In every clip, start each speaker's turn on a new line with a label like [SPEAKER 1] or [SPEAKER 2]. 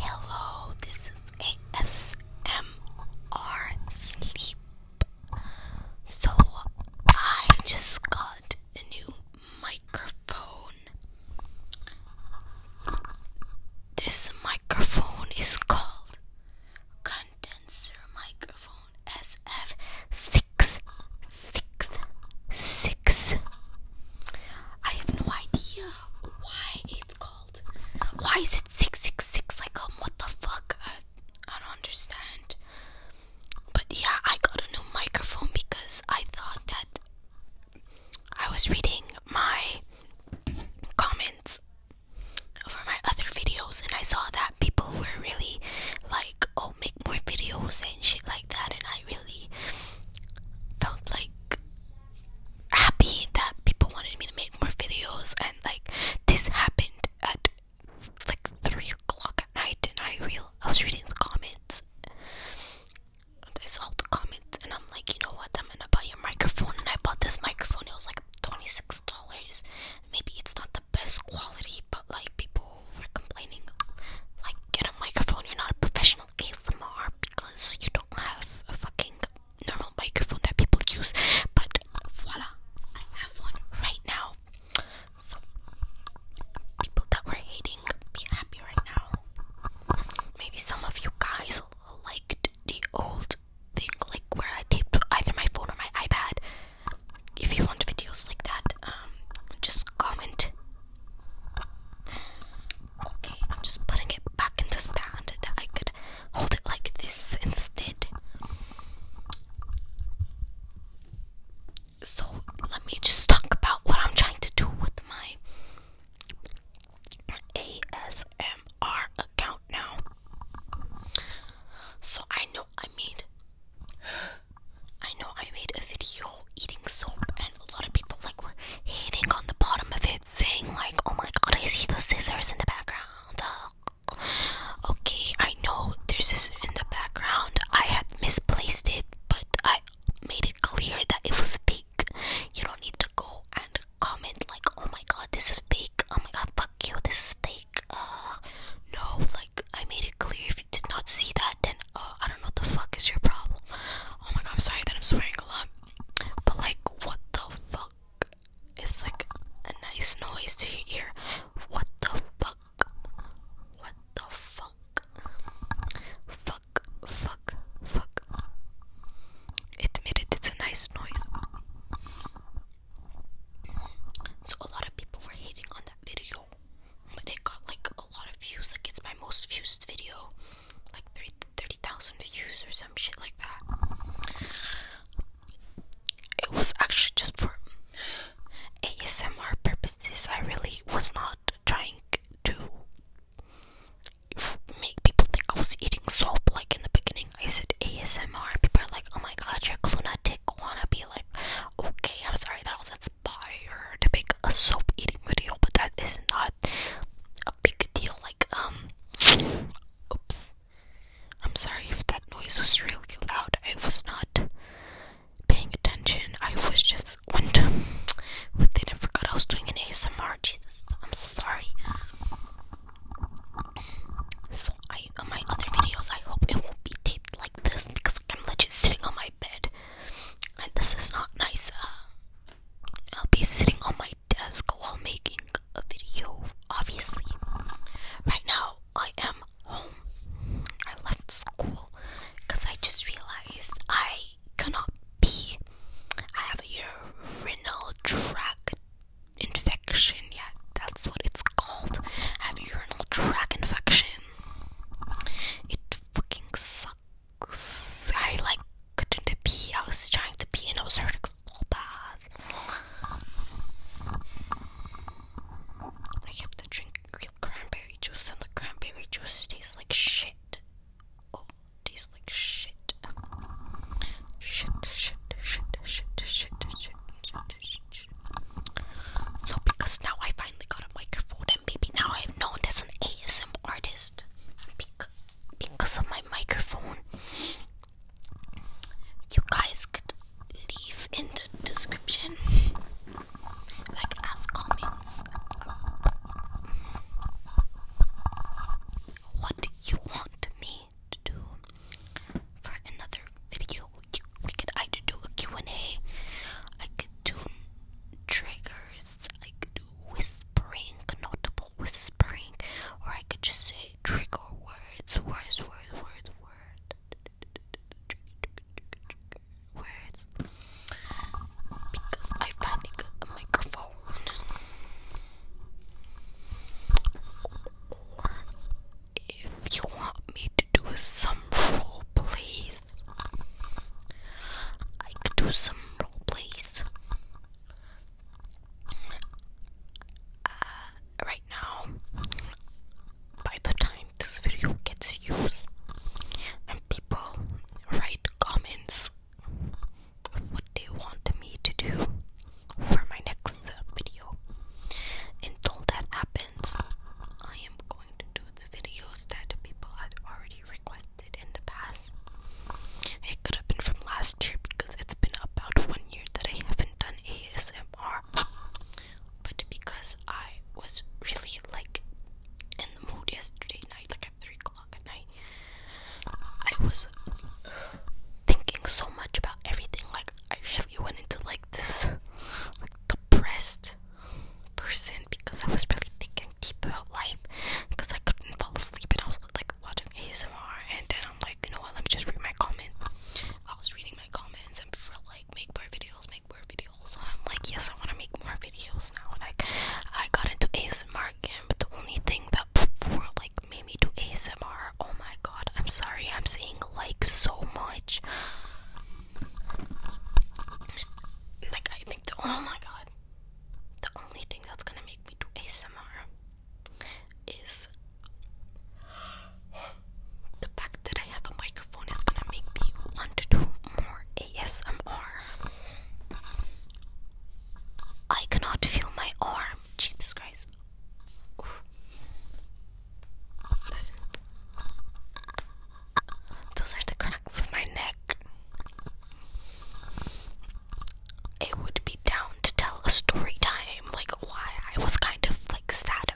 [SPEAKER 1] Hello, this is ASMR Sleep. So, I just got a new microphone. This microphone is called condenser microphone. SF666. I have no idea why it's called. Why is it 666? Like, um, what the fuck? I, I don't understand. But yeah, I got a new microphone because I thought that I was reading my comments over my other videos and I saw that people were really like, oh, make more videos and shit like that. And I really felt like happy that people wanted me to make more videos. And like, this happened at like 3 o'clock at night. And I, real I was reading the comments. I saw the comments and I'm like, you know what? I'm gonna buy your microphone. And I bought this microphone, it was like $26. Maybe it's not the best quality, but like people were complaining, like, get a microphone, you're not a professional ASMR because you don't have a fucking normal microphone that people use. But voila, I have one right now. So, people that were hating, be happy right now. Maybe some of you guys liked the old thing, like where I taped either my phone or my iPad if you want videos like that, um, just comment. Okay, I'm just putting it back in the stand. I could hold it like this instead. So let me just talk about what I'm trying to do with my ASMR account now. So I know I made I know I made a video eating soap and a lot of people like were hating on the bottom of it saying like oh my god I see the scissors in the background uh, Okay I know there's scissors in the background I had misplaced it but I made it clear that it was fake You don't need to go and comment like oh my god this is fake oh my god fuck you this is fake like, uh, no, like, I made it clear. If you did not see that, then, uh, I don't know what the fuck is your problem. Oh my god, I'm sorry that I'm swearing a lot. But, like, what the fuck? It's like a nice noise to your ear. What the fuck? What the fuck? Fuck, fuck, fuck. Admit it, it's a nice noise. So a lot of people were hating on that video, but it got like a lot of views. Like it's my most viewed video, like 30,000 views or some shit like that. It was actually just for ASMR purposes. I really was not trying to make people think I was eating soap like in the beginning. I said ASMR. People are like, oh my god, you're a lunatic be Like, okay, I'm sorry, that was inspired to make a soap eating video, but that is not a big deal. Like, um, oops. I'm sorry if that noise was really loud. I was not paying attention. I was just went did and forget? I was doing an ASMR. Jesus, I'm sorry. So I on my other videos I hope it won't be taped like this because like, I'm legit sitting on my bed and this is not nice. Uh, I'll be sitting on my desk while making a video obviously. Right now I am home. I left school because I just realized I cannot pee. I have a urinal tract infection. Yeah, that's what it's called. Have urinal tract infection. It fucking sucks. I like couldn't pee. I was trying to pee and it was hurting so bad. I have to drink real cranberry juice, and the cranberry juice tastes like shit. Oh, tastes like Shit, shit, shit, shit, shit, shit, shit, shit, shit, Yo, because now I finally got a microphone, and maybe now I'm known as an ASM artist because of my microphone. You guys could leave in the description, like as comments, what you want me to do for another video. We could either do a Q&A, could do triggers, I could do whispering, notable whispering, or I could just say trigger words, words, words, words, words, words, because I panic a microphone if you want me to do some role plays, I could do some role plays. Uh, right now, by the time this video gets views and people write comments, what they want me to do, for my next video. Until that happens, I am going to do the videos that people had already requested in the past. It could have been from last year because it's been about one year that I haven't done ASMR. But because I was really like in the mood yesterday night, like at 3 o'clock at night, I was thinking so much about everything. Like, I really went into like this like depressed person because I was really thinking deep about life because I couldn't fall asleep and I was like watching ASMR and then I'm like, you know what, let me just read my comments. I was reading my comments and for like make more videos, make more videos. I'm like, yes, I want to make more videos now. Like I got into ASMR again, but the only thing that before like made me do ASMR. Oh my god, I'm sorry, I'm saying like so much. Like, I think oh my god, the only thing that's gonna make me do ASMR is the fact that I have a microphone is gonna make me want to do more ASMR. I cannot feel my arm. Jesus Christ. Those are the cracks of my neck. It would be down to tell a story time, like why I was kind of like sad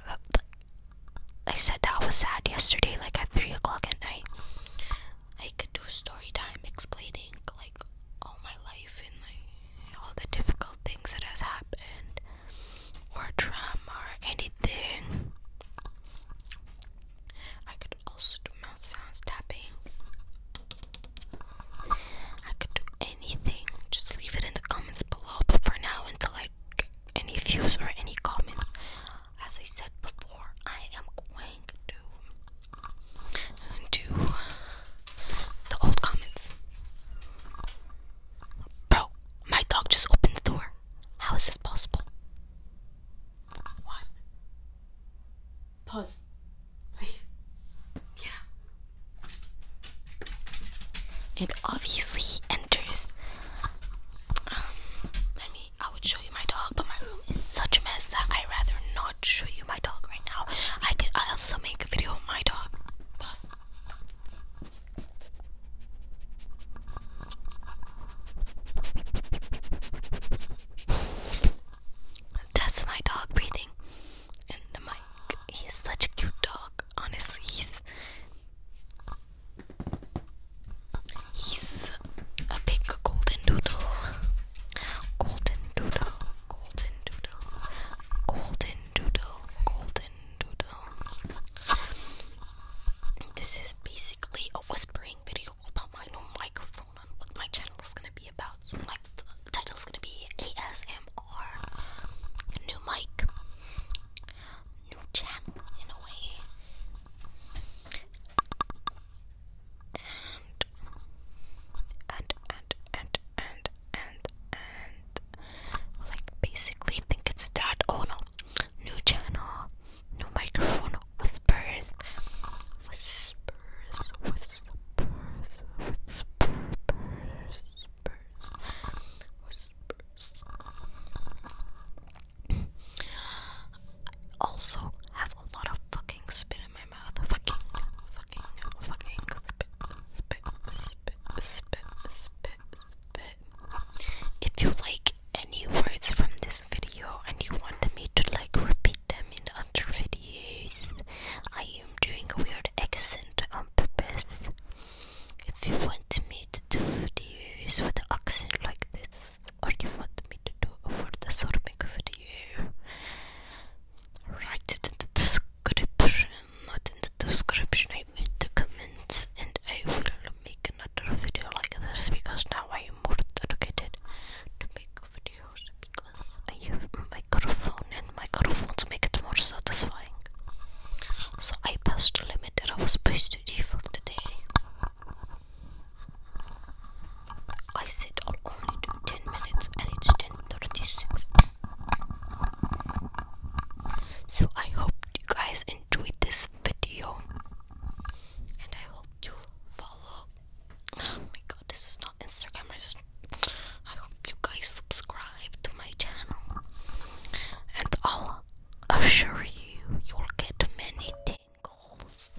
[SPEAKER 1] I said that I was sad yesterday, like at three o'clock at night. I could do a story time explaining all my life and like all the difficult things that has happened or trauma or anything. I could also do mouth sounds tapping. I could do anything. Just leave it in the comments below. But for now, until I get any views or any comments, as I said before, I am going to do the old comments. Bro, my dog just opened the door. How is this possible? What? Pause. yeah. And obviously enters. Um, I mean, I would show you my dog, but my room is such a mess that I rather not not show you my dog right now. I can I also make a video of my dog. That's my dog breathing. And the He's such a cute dog. Honestly, he's He's a big golden doodle. Golden doodle golden doodle, golden doodle, golden doodle. This is basically a whispering video about my new microphone and what my channel is gonna be about. So like the title is gonna be ASMR, new mic, new channel in a way. And and and and and and and like basically think it's that. Oh no, new channel, new microphone, whispers, whispers, whispers, whispers, whispers, whispers. also have a lot of fucking spit in my if you like any words from this video and you want me to like repeat them in other videos, I am doing a weird accent on purpose. If you want me to do videos with an accent like this, or you want me to do a word assortment video, Write it in the description, not in the description, I mean the comments, and I will make another video like this because now I am more dedicated to make videos because I have a microphone and my to make it more satisfying. So I passed the limit that I was supposed to do for today. I said I'll only 10 minutes and it's 10.36. So I hope you guys enjoyed this video and I hope you follow Oh my god, this is not Instagram. I hope you guys subscribe to my channel and I'll assure you you'll get many tingles.